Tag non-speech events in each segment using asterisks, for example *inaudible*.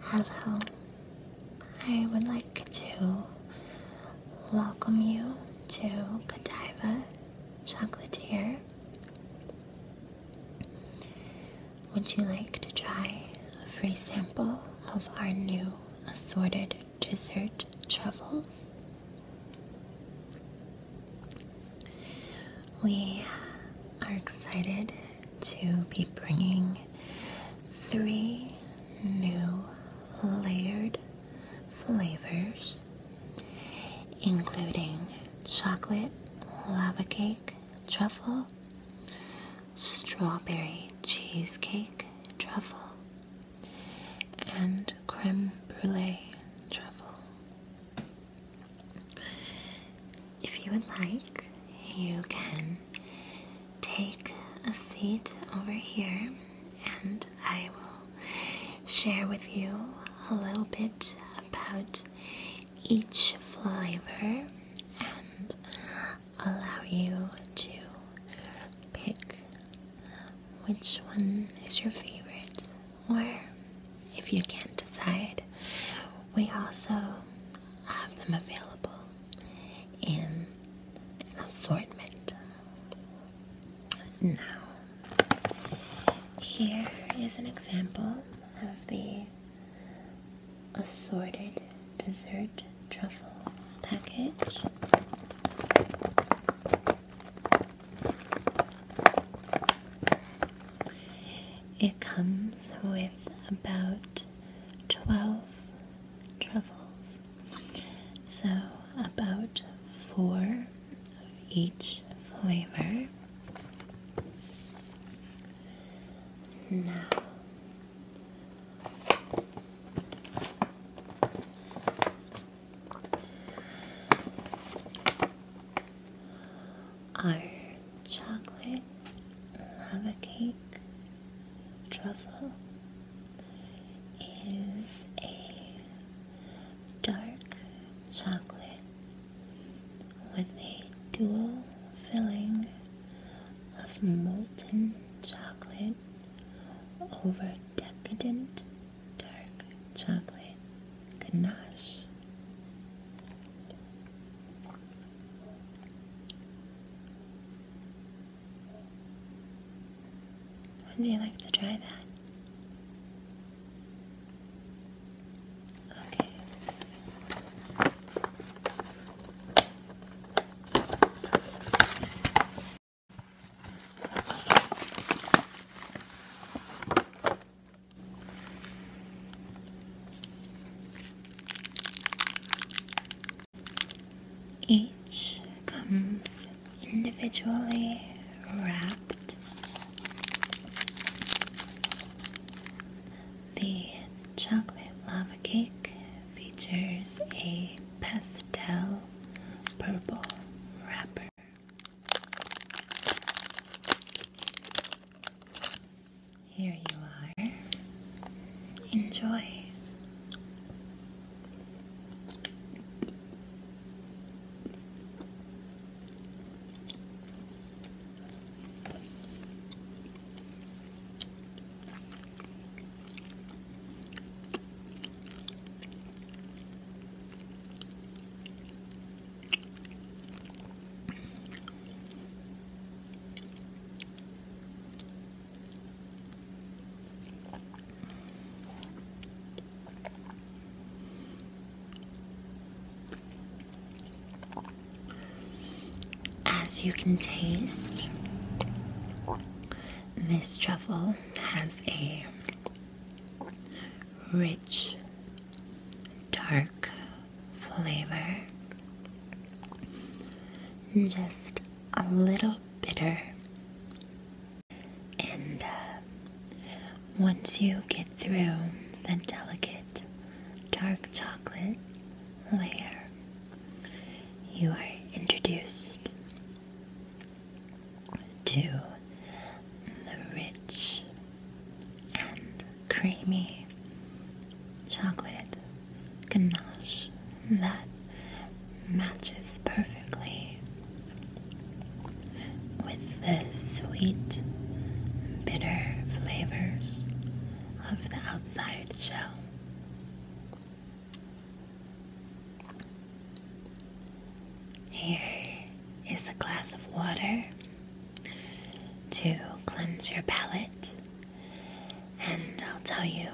Hello, I would like to welcome you to Godiva Chocolatier. Would you like to try a free sample of our new assorted dessert truffles? We are excited to be bringing three new layered flavors, including chocolate lava cake truffle, strawberry cheesecake truffle, and creme brulee truffle. If you would like, you can take a seat over here and I will share with you a little bit about each flavor and allow you to pick which one is your favorite or if you can't decide. We also have them available in an assortment. Now, here is an example of the assorted dessert truffle package. It comes with about 12 truffles, so about four of each flavor. Now, our chocolate, lava cake, truffle is a dark chocolate with a dual filling of molten chocolate over decadent dark chocolate ganache. Would you like to try that? Okay. Each comes individually wrapped. The chocolate lava cake features a pastel purple wrapper. Here you are. Enjoy. As you can taste, this truffle has a rich dark flavor, just a little bitter. And uh, once you get through the delicate dark chocolate layer, you are introduced to the rich and creamy chocolate ganache that matches perfectly with the sweet, bitter flavors of the outside shell. Here is a glass of water to cleanse your palate. And I'll tell you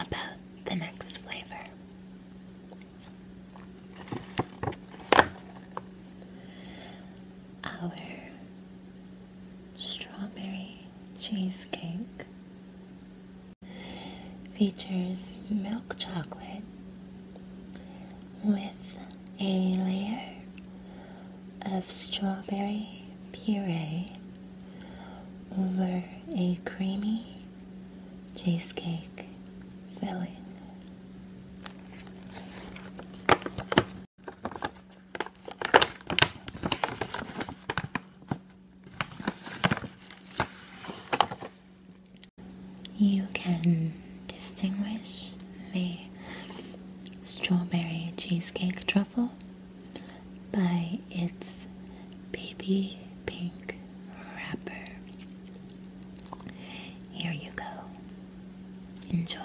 about the next flavor. Our strawberry cheesecake features milk chocolate with a layer of strawberry puree over a creamy cheesecake filling. You can distinguish the strawberry cheesecake truffle by its baby pink wrapper. Here you go. Enjoy.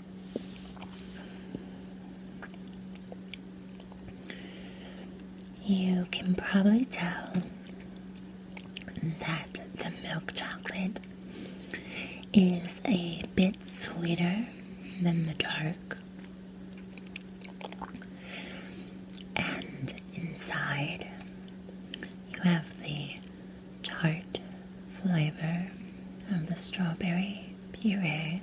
You can probably tell that the milk chocolate is a bit sweeter than the dark, and inside you have the tart flavor of the strawberry puree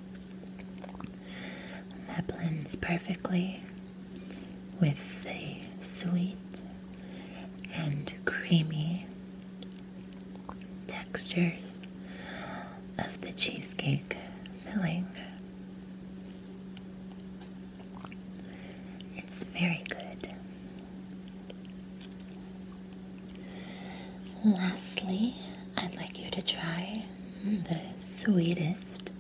that blends perfectly with the sweet and creamy textures of the cheesecake filling. It's very good. Lastly, I'd like you to try the sweetest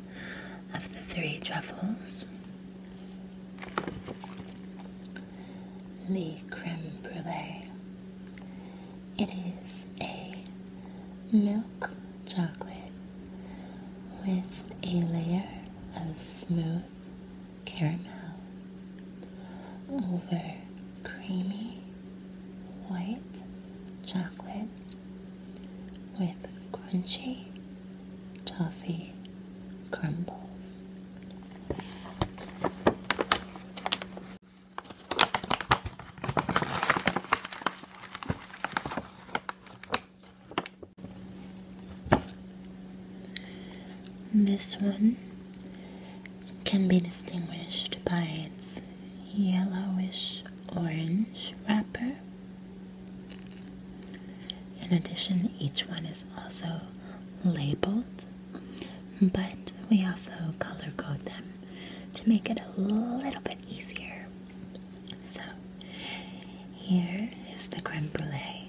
of the three truffles the creme brulee. It is a milk chocolate with a layer of smooth caramel over creamy white chocolate with crunchy toffee crumbles. This one can be distinguished by its yellowish orange wrapper. In addition, each one is also labeled, but we also color code them to make it a little bit easier. So, here is the creme brulee.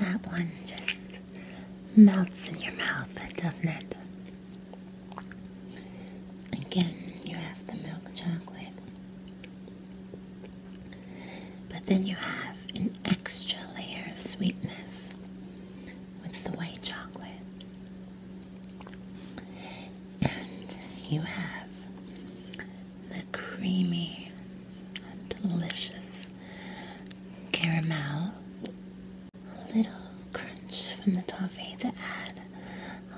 That one just melts in your mouth, doesn't it? Again, you have the milk chocolate. But then you have an extra layer of sweetness with the white chocolate. And you have the creamy, delicious caramel. A little crunch from the toffee to add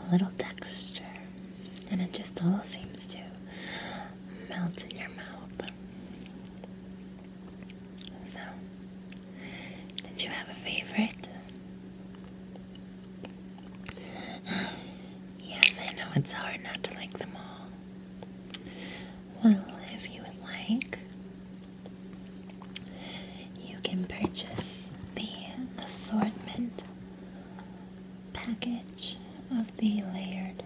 a little texture, and it just all seems to melt in your mouth. So, did you have a favorite? Yes, I know it's hard not to like them all. Well, if you would like, you can purchase the assortment package of the layered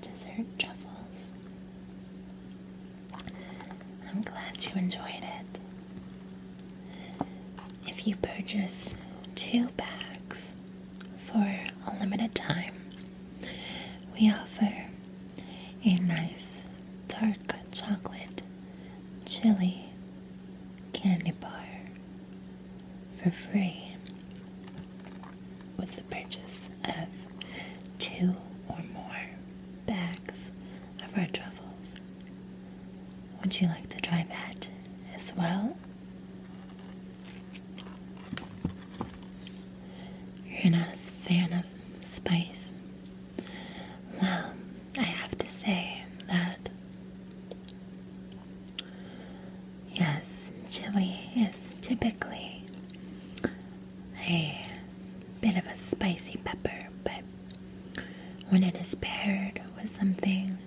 dessert truffles. I'm glad you enjoyed it. If you purchase two bags for a limited time, we offer a nice dark chocolate chili candy bar for free with the purchase of two or more bags of red truffles. Would you like to try that as well? You're not a fan of spice? Well, I have to say that yes, chili is typically a bit of a spicy pepper, but when it is paired with something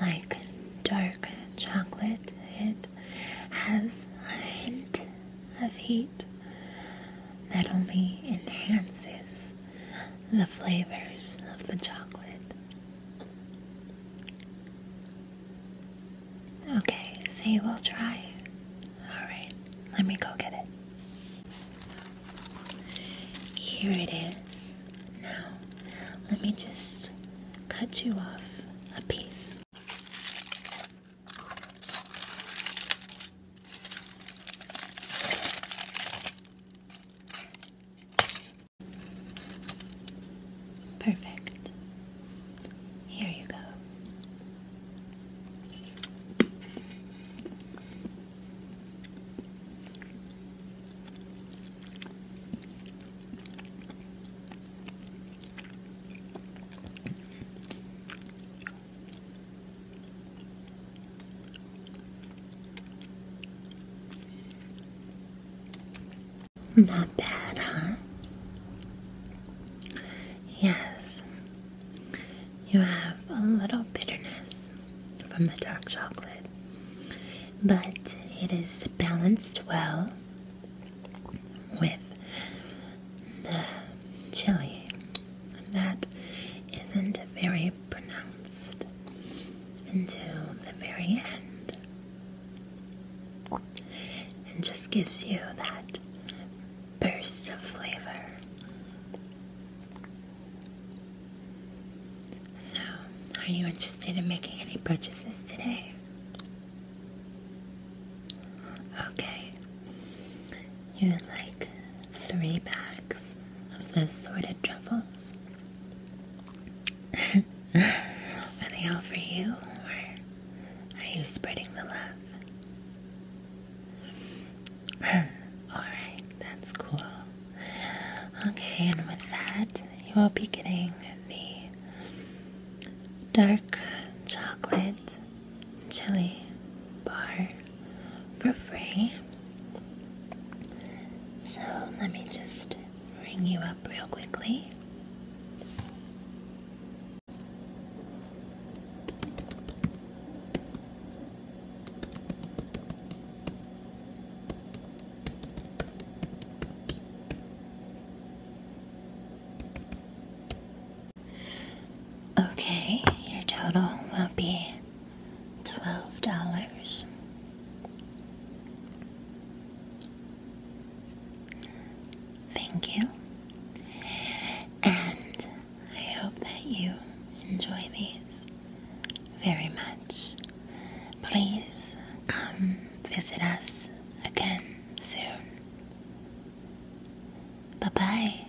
like dark chocolate, it has a hint of heat that only enhances the flavors of the chocolate. Okay, see, you all try Alright, let me go get it. Here it is. Now, let me just cut you off a piece. Perfect. Here you go. Not bad, huh? Yes, you have a little bitterness from the dark chocolate, but it is balanced well with the chili that isn't very pronounced until the very end. And just gives you that burst of flavor. So, are you interested in making any purchases today? Okay. You would like three packs of the assorted truffles. Are *laughs* they all for you, or are you spreading the love? *laughs* Alright, that's cool. Okay, and with that, you will be getting the dark chocolate chili bar for free. So let me just ring you up real quickly. Okay, your total will be twelve dollars. Thank you, and I hope that you enjoy these very much. Please come visit us again soon. Bye bye.